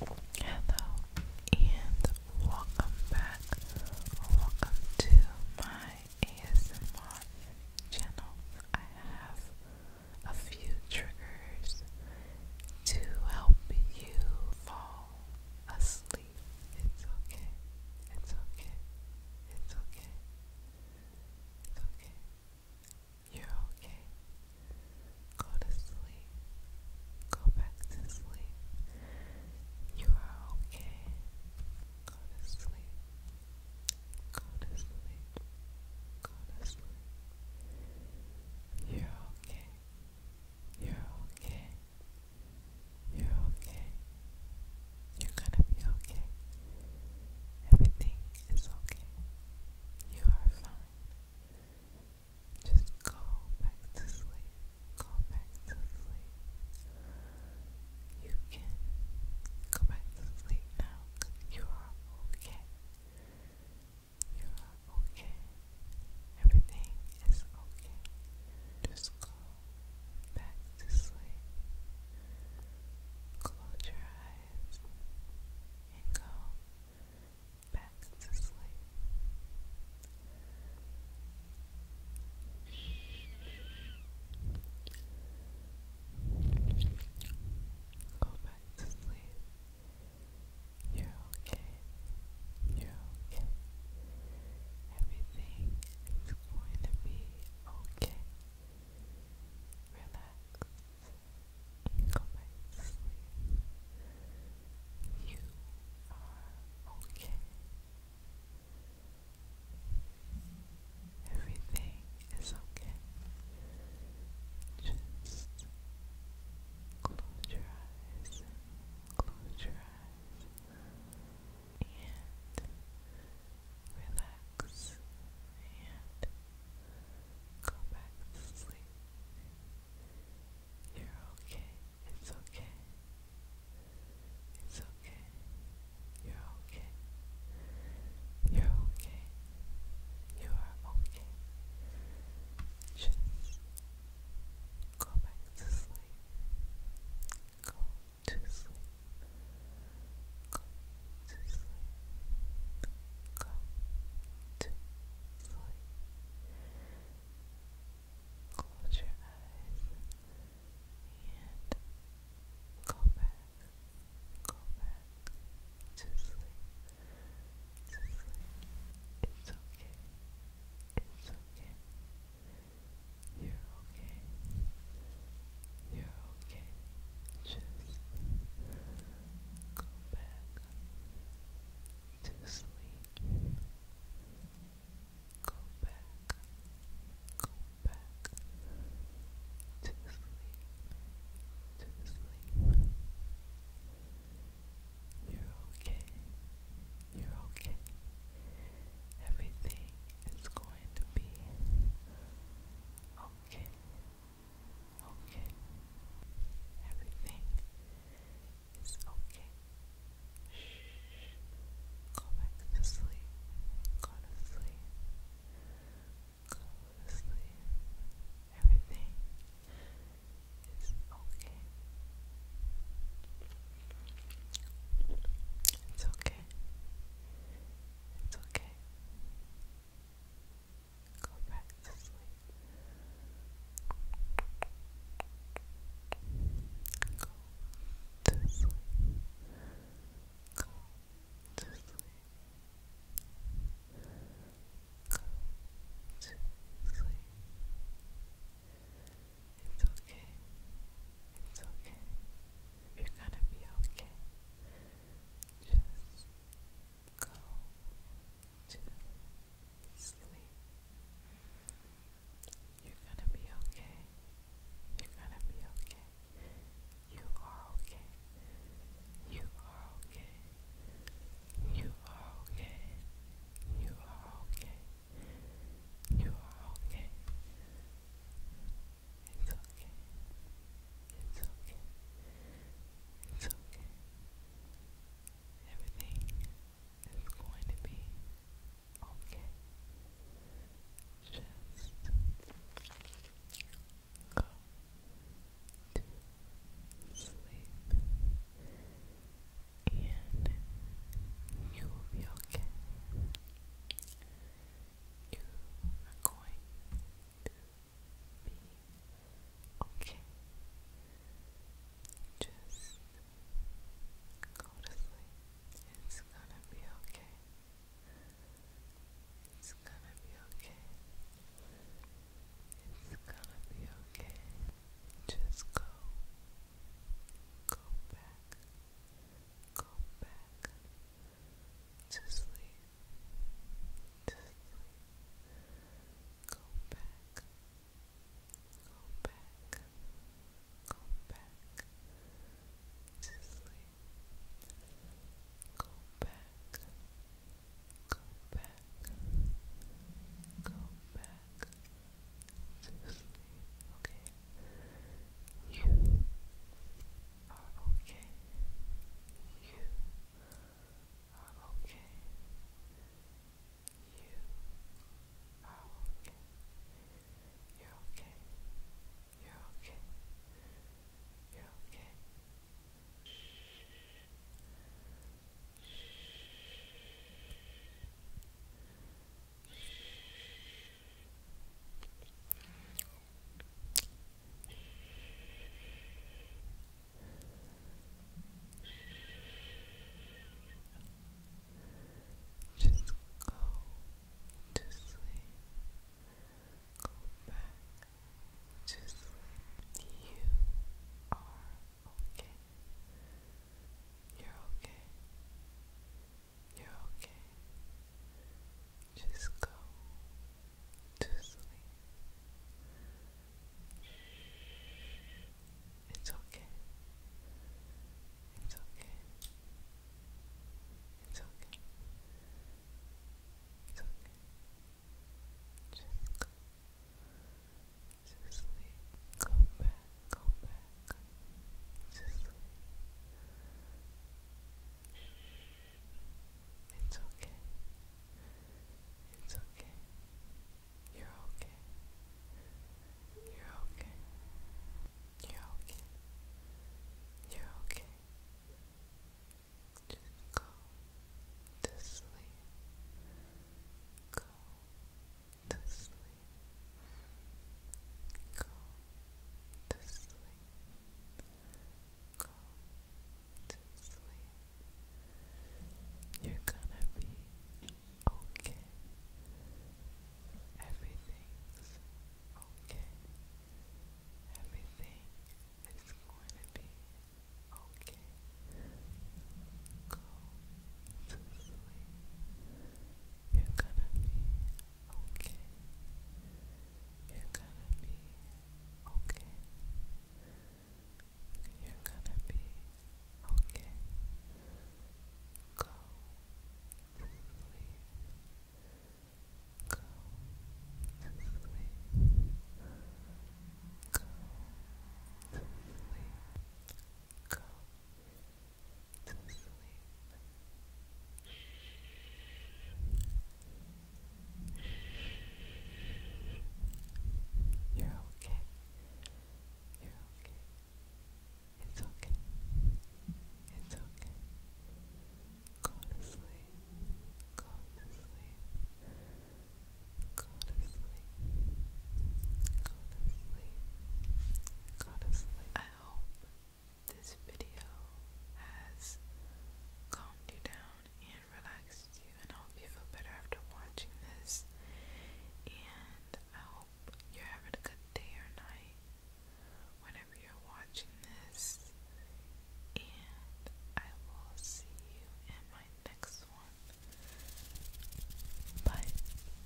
Hello and welcome back. Welcome to my ASMR channel. I have a few triggers to help you fall asleep. It's okay. It's okay. It's okay. It's okay. You're okay. Go to sleep. Go back to sleep. You are okay. Go to sleep. Go to sleep. Go to sleep. You're okay. You're okay. You're okay. You're gonna be okay. Everything is okay. You are fine. Just go back to sleep. Go back to sleep. You can go back to sleep now you are okay. You are okay. Everything is okay. Just go back to sleep. Close your eyes and go back Go back to sleep. You're okay. You're okay. Everything is going to be okay. Relax. You are okay. Everything is okay. Just close your eyes. Close your eyes. And relax. And Go back to sleep. You're okay. It's okay. It's okay. You're okay. You're okay. You are okay. Just go back to sleep. Go to sleep. Close your eyes and go back, go back to sleep, to sleep. It's okay, it's okay. You're okay, you're okay. Just Go back to sleep. Go back. Go back to sleep. To sleep. You're okay. You're okay. Everything is going to be okay okay. Everything is okay. Shh. Go back to sleep. Go to sleep. Go to sleep. Everything is okay. It's okay. It's okay. Go back to sleep. Go to sleep. Go to sleep. It's okay. It's okay. You're gonna be okay. Just go to sleep. You're gonna be okay. You're gonna be okay. You are okay. You are okay. You are okay. You are okay. You are okay. You are okay. It's okay. It's okay. It's okay. Everything is going to be okay. Just go to sleep and you will be okay you are going to be okay. Just go to sleep. It's gonna be okay. It's gonna be okay. It's gonna be okay. Just go. Go back. Come back to sleep. To sleep. Go back. Go back. Go back to sleep. Go back. Go back. Go back to sleep. Okay. You are okay. You are okay. You are okay. You're okay. You're okay. You're okay. Shh. Just go to sleep. Go back to sleep. You are okay. You're okay. You're okay. Just go to sleep. It's okay. It's okay. It's okay. It's okay. Just go to sleep. Go back. Go back. It's okay. It's okay. You're okay. You're okay. You're okay. You're okay. Just go to sleep. Go to sleep. Go to sleep. Go to sleep. You're gonna be okay. Everything's okay. Everything is going to be okay. Go to sleep. You're gonna be okay. You're gonna be okay. You're gonna be okay. Go Go Go Go to You're okay. You're okay. It's okay. It's okay. Go to sleep. Go to sleep. Go to sleep. Go to sleep. Go to sleep hope this video has calmed you down and relaxed you, and I hope you feel better after watching this. And I hope you're having a good day or night whenever you're watching this. And I will see you in my next one. Bye.